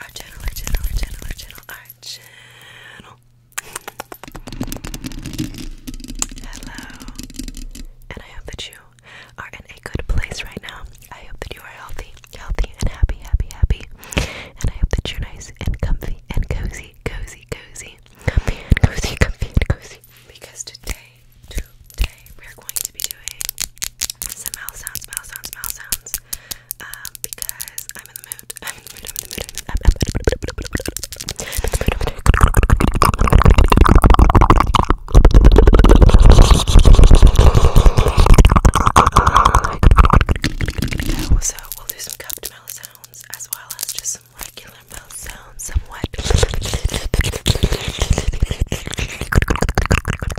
our channel, our channel, our channel, our channel, Hello, and I hope that you are in a good place right now. I hope that you are healthy, healthy, and happy, happy, happy. And I hope that you're nice and comfy and cozy, cozy, cozy, cozy, comfy cozy. Because today, today, we're going to be doing some mouth sounds, mouth sounds, mouth sounds um, because I'm in the mood. I'm in the mood. I'm in the mood. I'm in the mood. So we'll do some cupped mouth sounds as well as just some regular mouth sounds, somewhat.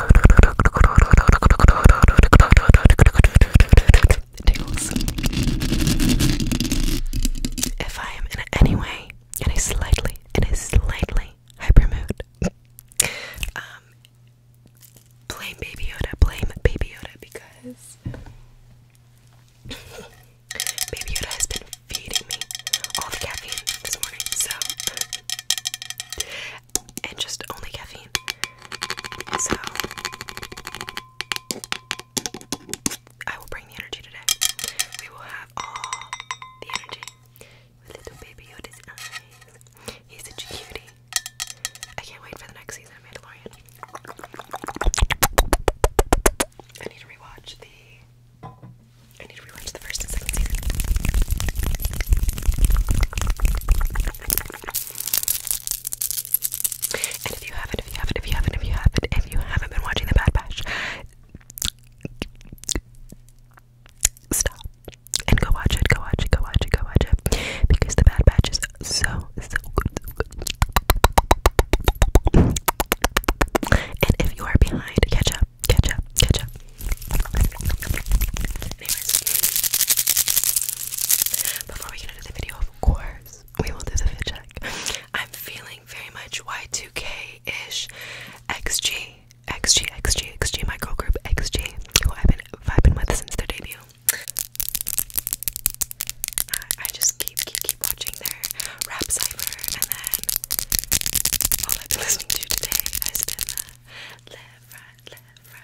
If I am in any way in a slightly, in a slightly hyper mood, um, blame Baby Yoda, blame Baby Yoda because Baby Yoda has been feeding me all the caffeine this morning, so and just only caffeine. So I will bring the energy today. We will have all the energy. little baby Yoda's eyes. He's such a cutie. I can't wait for the next season of Mandalorian. I need to rewatch the I need to rewatch the first and second season. And if you haven't, if you haven't, if you haven't, if you haven't, if you haven't been watching The Bad Batch, stop and go watch it, go watch it, go watch it, go watch it. Because The Bad Batch is so, so good. So good. And if you are behind, catch up, catch up, catch up before we get into the video, of course, we will do the fit check. I'm feeling very much Y2K-ish, XG, XG, XG, XG, my girl group, XG, who I've been vibing with since their debut. I, just keep, keep, keep watching their rap cipher, and then all I've been listening to today I spin the left, right, left, right.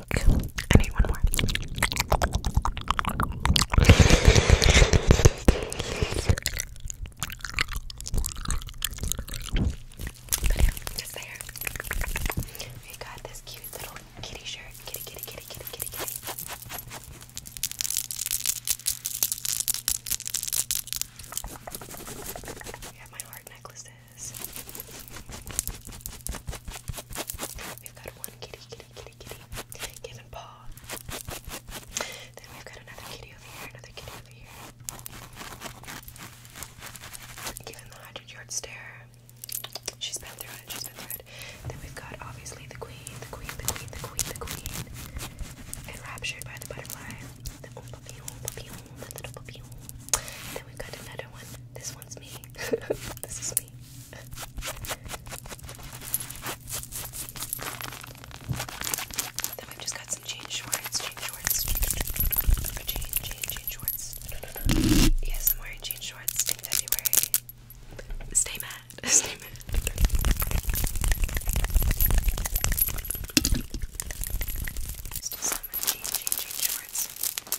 think I need one more. But yeah, just there. We got this cute little kitty shirt. Kitty, kitty, kitty, kitty, kitty, kitty. We have my heart necklaces. We've got one kitty, kitty, kitty, kitty, given paw. Then we've got another kitty over here, another kitty over here. Given the hundred yard stare. She's been through it, she's been through it. Then we've got obviously the queen, the queen, the queen, the queen, the queen. Enraptured by the butterfly. Then we've got another one. This this one's me. this is me. then we've just got some jean shorts, jean shorts, jean, jean, jean shorts. Yes, I'm wearing jean shorts in February. Stay mad, stay mad. Still some jean, jean, jean shorts.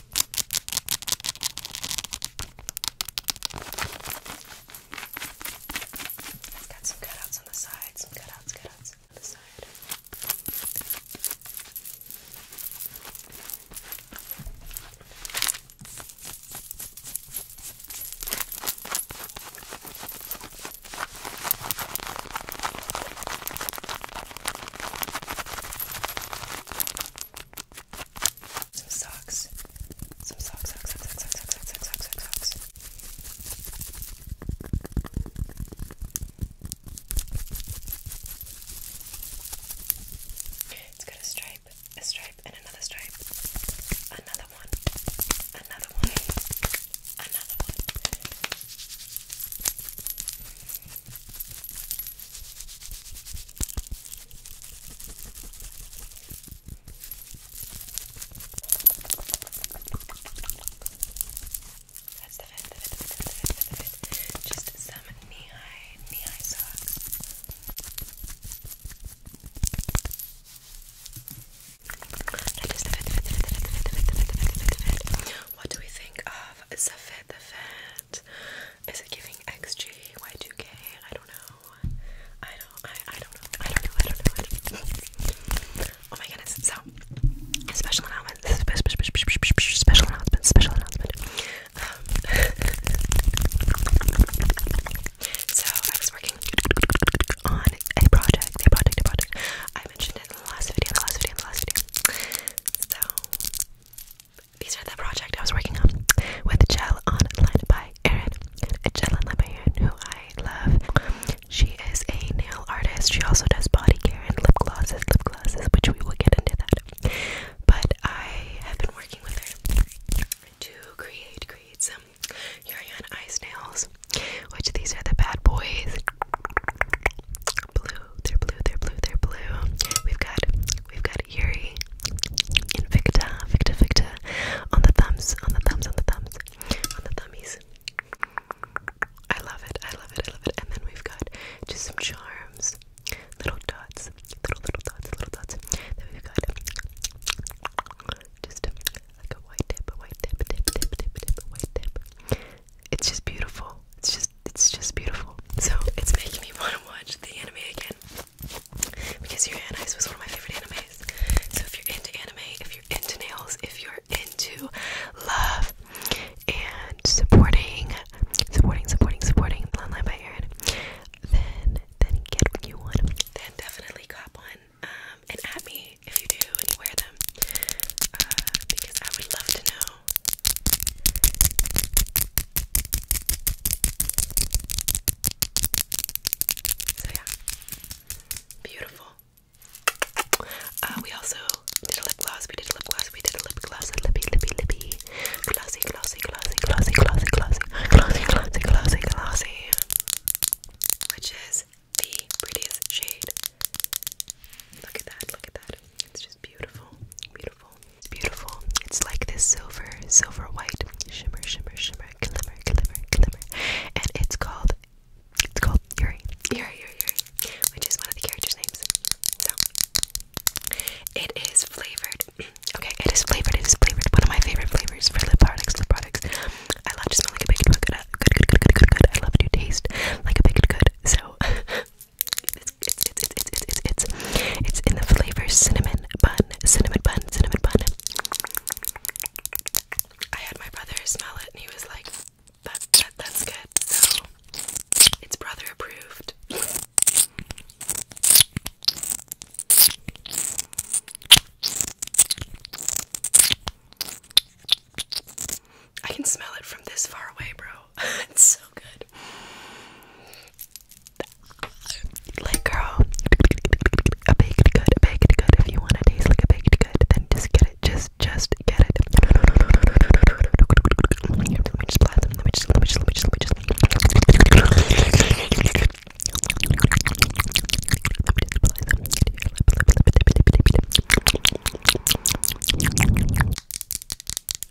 It's got some cutouts on the side, some cutouts, cutouts on the side. Some socks. Some socks, socks, socks, socks, socks, socks, socks, socks, It's got a stripe, a stripe, and another stripe. Another one. Another one. Another one. That's the fit, the fit, the fit, the fit, the fit, the fit. Just some knee-high, knee-high socks. That is the fit, the fit, the fit, the fit, the fit, the fit, the fit, the fit, the fit. What do we think of the fit, the fit? Is it giving XG, Y2K? I don't know. I don't, I, I don't know. I don't know. I don't know. I don't know. Oh my goodness. So, special announcement. Special announcement. Special announcement. Um, so, I was working on a project. A project. A project. I mentioned it in the last video. In the last video. In the last video. So, these are the project I was working on with Gel on Online by Erin. Gel Online by Erin, who I love. She is a nail artist. She also does body care and lip glosses, lip glosses, which we will get into that. But I have been working with her to create, create some Yurion ice nails, which these are the bad boys. Blue, they're blue, they're blue, they're blue. We've got we've got Yuri Invicta, Victa Victa on the thumbs, on the thumbs, on the thumbs, on the thummies. I love it, I love it, I love it. And then we've got just some charms, little dots, little little dots, little dots. Then we've got just like a white tip, a white tip, a tip, tip, tip, tip, a white tip. It's just beautiful. It's just it's just beautiful. So it's making me want to watch the anime again because Your Uranus was one of my favorite animes. So if you're into anime, if you're into nails, if you're into love and supporting, supporting, supporting, supporting Landline by Erin, then then get you want. Then definitely cop one um, and at me if you do and you wear them uh, because I would love to know beautiful. Uh, we also did a lip gloss. We did a lip gloss. We did a lip gloss. A lippy, lippy, glossy, glossy, glossy, glossy, glossy, glossy, glossy, glossy. Which is the prettiest shade. Look at that. Look at that. It's just beautiful, beautiful, it's beautiful. It's like this silver, silver white shimmer, shimmer, shimmer, glimmer, glimmer, glimmer. And it's called, it's called Yuri, Yuri, Yuri, Yuri, which is one of the characters' names. So, it is flavored. Okay, it is flavored. It is flavored. One of my favorite flavors for lip products. Lip products. I love to smell like a baked good. Good, good, good, good, good, good. I love to taste like a baked good. So, It's it's it's it's it's it's it's it's in the flavor cinnamon bun, cinnamon bun, cinnamon bun. I had my brother smell it and he was like, that, that's good. So it's brother approved. I can smell it from this far away, bro. it's so good. Like, girl, a baked good, a baked good. If you want to taste like a baked good, then just get it. Just, just get it. Let me just, let me just, let me just, let me just. Let me just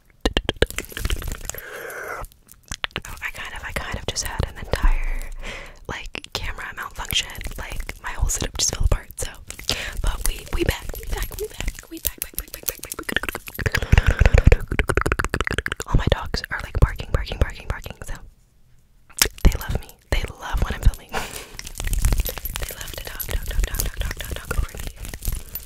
Oh, I kind of, I kind of just had an entire like camera malfunction. Like my whole setup just fell apart. So, but we we back, we back, we back, we back, back, back, back, back, back. All my dogs are like barking, barking, barking, barking. So they love me. They love when I'm filming. they love to dog, dog, dog, dog, dog, dog, dog over me.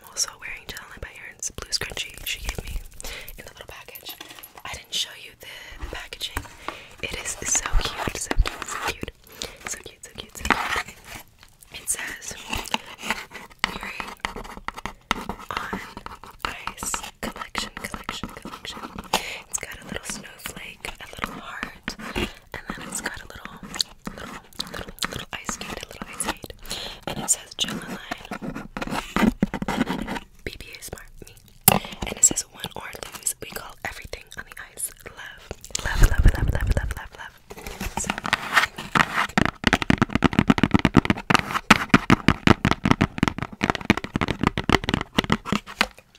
I'm also wearing Jelena by Erin's blue scrunchie she gave me in the little package. I didn't show you the packaging. It is so cute, so cute, so cute, so cute, so cute, so cute. It says earring on ice collection, collection, collection. It's got a little snowflake, a little heart, and then it's got a little, little, little ice skate, a little ice skate, and it says BBA Smart Me. And it says one or lose. We call everything on the ice love. Love, love, love, love, love, love, love.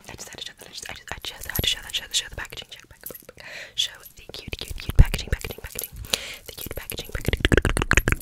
I just had to show that. I just, I just, I just had to show that. Show the, show the packaging. Show the cute, cute, cute packaging, packaging, packaging. The cute packaging.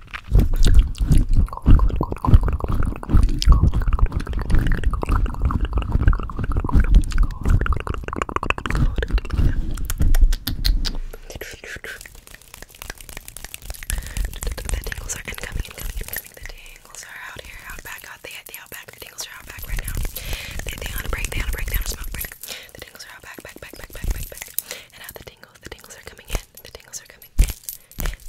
The tingles are incoming, incoming, incoming. The tingles are out here, out back, out the, the out back. The tingles are out back right now. They, they on a break, they on a break, they on a smoke break. The tingles are out back, back, back, back, back, back, back. And out the tingles, the tingles are coming in. The tingles are coming in, in,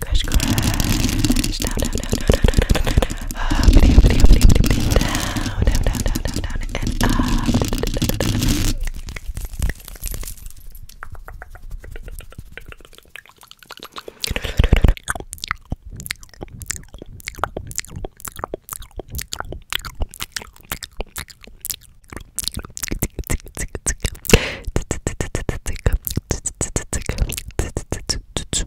crash, crash, crash. Down, down, down, down, down, down, down, down. Up, video, video, video, video, down, down, down, down, down, down, and up.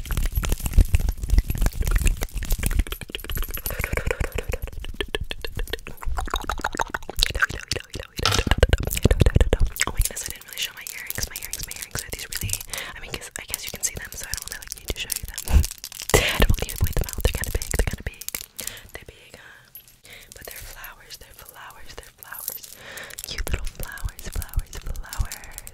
Oh my goodness, I didn't really show my earrings. My earrings, my earrings are these really. I mean, I guess you can see them, so I don't really need to show you them. I don't need to point them out. They're kind of big. They're kind of big. They're big, huh? But they're flowers. They're flowers. They're flowers. Cute little flowers. Flowers. Flowers.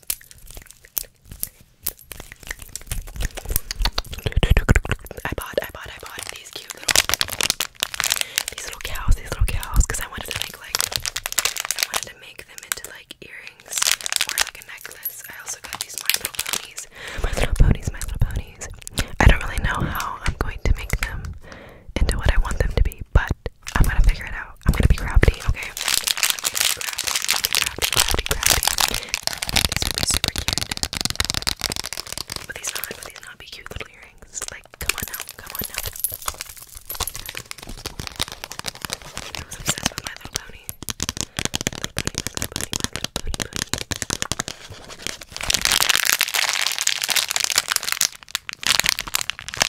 I bought, I bought, I bought these cute little, these little cows, these little cows, because I wanted to make like, I wanted to make them into like earrings or like a necklace. I also got these My Little Ponies, My Little Ponies, My Little Ponies. I don't really know how I'm going to make them into what I want them to be, but I'm gonna figure it out. I'm gonna be crafty, okay? I'm gonna be crafty, crafty, crafty, crafty. This would be super cute. Would these not, would these not be cute little earrings? Like, come on now, come on now. I was obsessed with my little pony. Little pony, my little pony, my little pony, pony.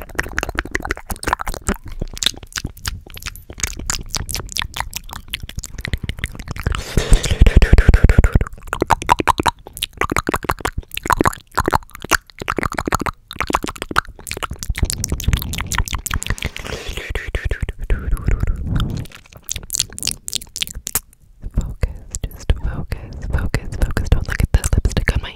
Focus, just focus, focus, focus. Don't look at this lipstick on my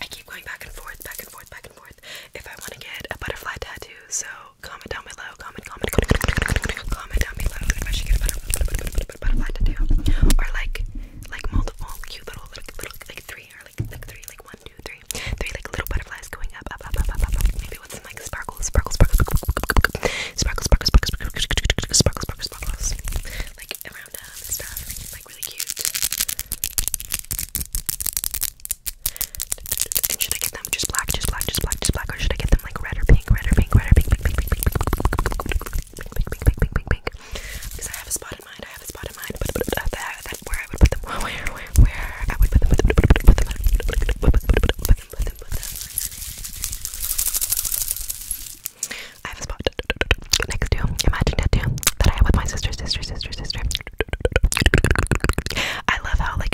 I keep going back and forth, back and forth, back and forth if I want to get a butterfly tattoo. So Comment down below. Comment, comment, comment, comment down below if I should get a butterfly, butterfly tattoo, or like, like multiple cute little, like, little, like three, or like, like three, like one, two, three, three, like little butterflies going up, up, up, up, up, up. Maybe with some like sparkles, sparkles, sparkles, sparkles, sparkles, sparkles, sparkles, sparkles, sparkles, sparkles, like around them and stuff, like really cute. And should I get just black, just black, just black, just black, or should I get them like red or pink, red or pink, red or pink, pink, pink, pink, pink, pink, pink, pink, pink, pink, because I have a spot in mind, I have a spot in mind, but that's where I would put them, where, where, where I would put them, put them, put them, put them, put them, put them, I have a spot next to Imagine Tattoo that I have with my sister, sister, sister, sister. I love how like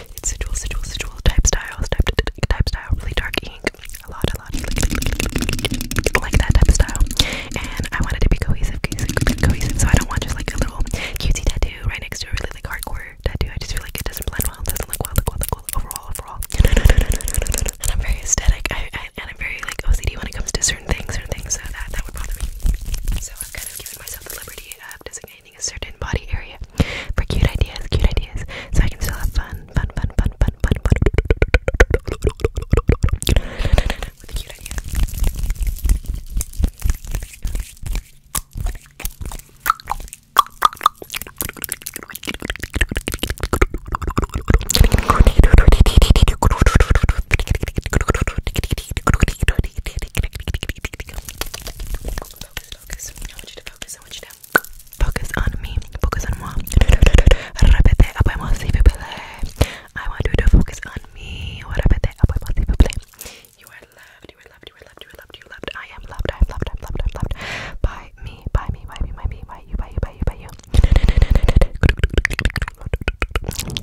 It's sensual, sensual, sensual type style, type, type style, really dark ink, a lot, a lot, like, like that type of style. And I wanted to be cohesive, cohesive, cohesive, so I don't want just like a little cutesy tattoo right next to a really like hardcore tattoo. I just feel like it doesn't blend well, it doesn't look well, look well, look well overall, overall. And I'm very aesthetic, I, I, and I'm very like OCD when it comes to certain things, certain things, so that that would bother me. So I've kind of given myself the liberty of designating a certain body area for cute ideas, cute ideas, so I can still have fun, fun, fun, fun, fun, fun, fun Focus, focus. I want you to focus. I want you to focus on me. Focus on moi. Repete après moi, s'il vous plaît. I want you to focus on me. Repete après moi, s'il vous plaît. You are loved. You are loved. You are loved. You are loved. You are loved. I am loved. I am loved. I am loved. I am loved. By me. By me. By me. By me. By you. By you. By you. By you.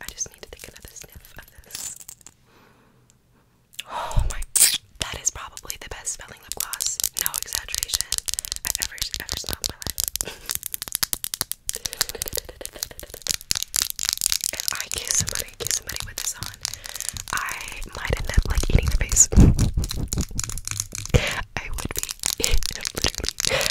I just need to take another sniff of this. Oh my, that is probably the best smelling lip gloss. No exaggeration. I've ever, ever smelled in my life. if I kiss somebody, kiss somebody with this on, I might end up like eating their face. I would be literally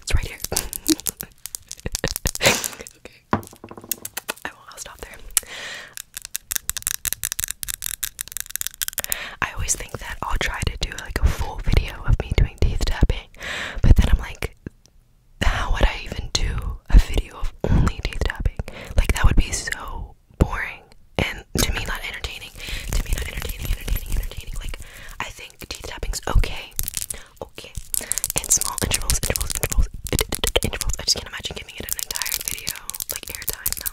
It's right here. okay. I won't, stop there. I always think that I'll try to do like a full video of me doing teeth tapping, but then I'm like, how would I even do a video of only teeth tapping? Like, that would be so boring and to me, not entertaining. To me, not entertaining, entertaining, entertaining. Like, I think think teeth tapping's okay. Okay. And small intervals, intervals, intervals, intervals. I just can't imagine giving it an entire video, like airtime now.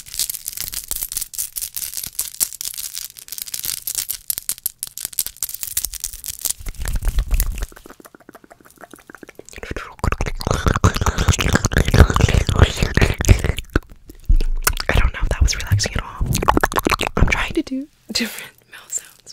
I don't know if that was relaxing at all. I'm trying to do different mouth sounds.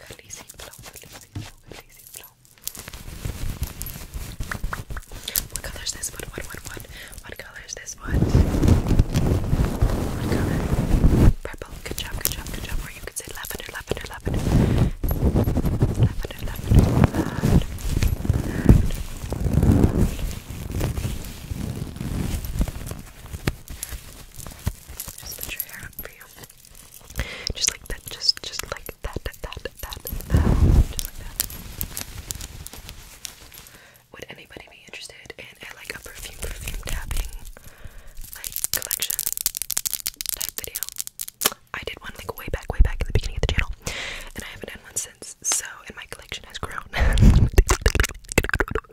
Khaleesi flow, Khaleesi flow, Khaleesi flow. What color is this? What, what, what, what? What color is this? What? What color? Purple. Good job, good job, good job. Or you could say lavender, lavender, lavender. Lavender, lavender, Just put your hair up just like that, just just like that, that, that, that, just like that. Would anybody be interested in a, like a perfume, perfume tapping, like collection type video? I did one like way back, way back in the beginning of the channel, and I haven't done one since. So, and my collection has grown.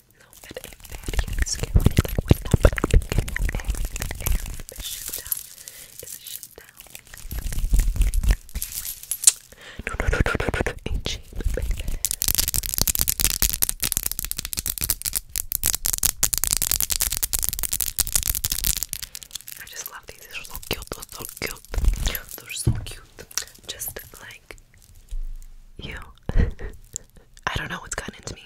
No, but a very scary thing would not happen. A shutdown is a shutdown. No, no, no, no, no, no, no. I just love these. They're so cute. They're so cute. They're so cute. Just like you. I don't know what's gotten into me.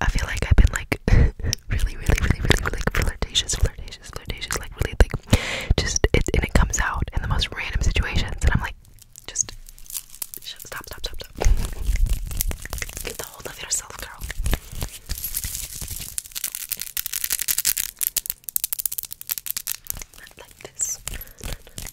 I feel like I've been like really, really, really, really, really like flirtatious, flirtatious, flirtatious, like really like just it and it comes out in the most random situations and I'm like just stop, stop, stop, stop. Get a hold of yourself, girl. Not like this.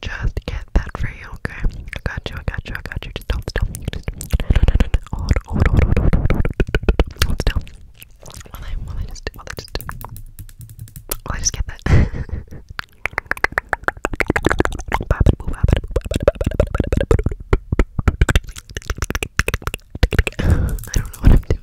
just get that for you, okay? I got you, I got you, I got you. Just don't stop. Just hold, hold, hold, hold, hold, hold, hold still. Will I, will I just, will I just, will I just get that? I don't know what I'm doing.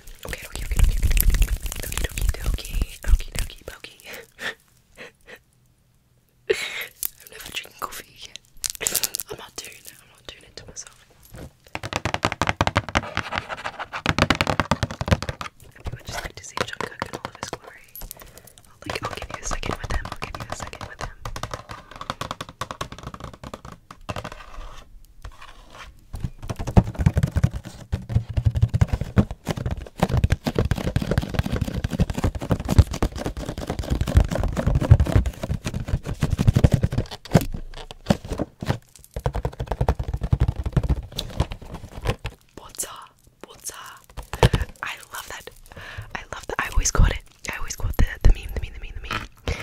Okay, okay, okay, okay, okay, okay, okay, okay, okay, okay, I'm never drinking coffee again. I'm not doing it. I'm not doing it to myself. I would just like to see John Cook in all of his glory. I'll, like, I'll give you a second with him. I'll give you a second with him. What's up? What's up? I love that. I love that. I always quote it. I always quote the the meme, the meme, the meme, the meme. You're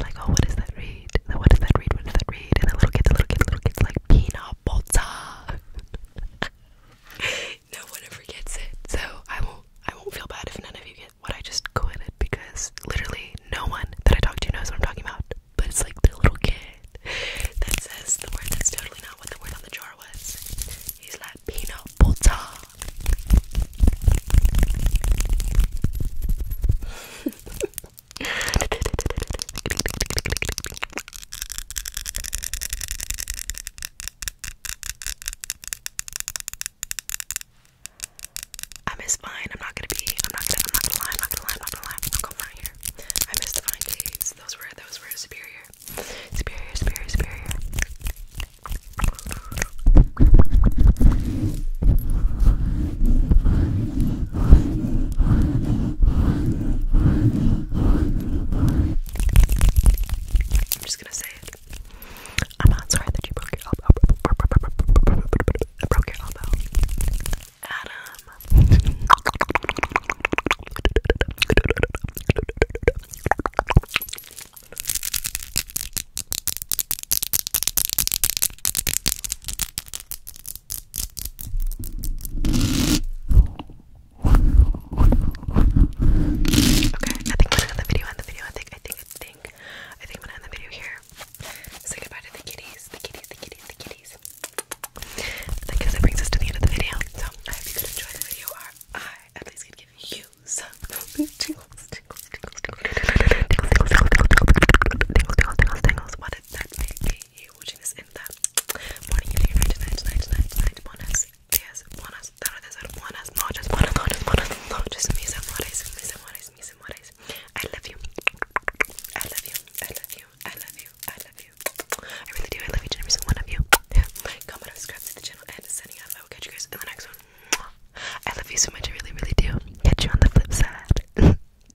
like, oh, what is that read? What is that read? What is that read? and the little kids, the little kids, the little kids like peanut butter. no one ever gets it, so I won't. I won't feel bad if none of you get what I just quoted because literally no one that I talk to knows what I'm talking about. But it's like the little kid that says the word that's totally not what the word on the jar was. He's like peanut butter. I miss Vine. I'm not gonna be. I'm not gonna. I'm not gonna lie. I'm not gonna lie. I'm not gonna lie. I'm not gonna lie here. I miss the Vine days. Those were. Those were superior. Superior. Superior. Superior. I'm just gonna say it. I'm not sorry that you broke your elbow. I broke your elbow. Adam. I think I'm gonna end the video, end the video, I think, I think, I think, I think I'm gonna end the video here. Say goodbye to the kitties, the kitties, the kitties, the kitties. I guess that brings us to the end of the video. So I hope you could enjoy the video or I at least could give you some tingles, tingles, tingles, tingles, tingles, tingles, tingles, tingles, tingles, tingles, tingles, tingles, tingles, tingles, watching this I love the one. I love you so much. I really, really do. Catch you on the flip side.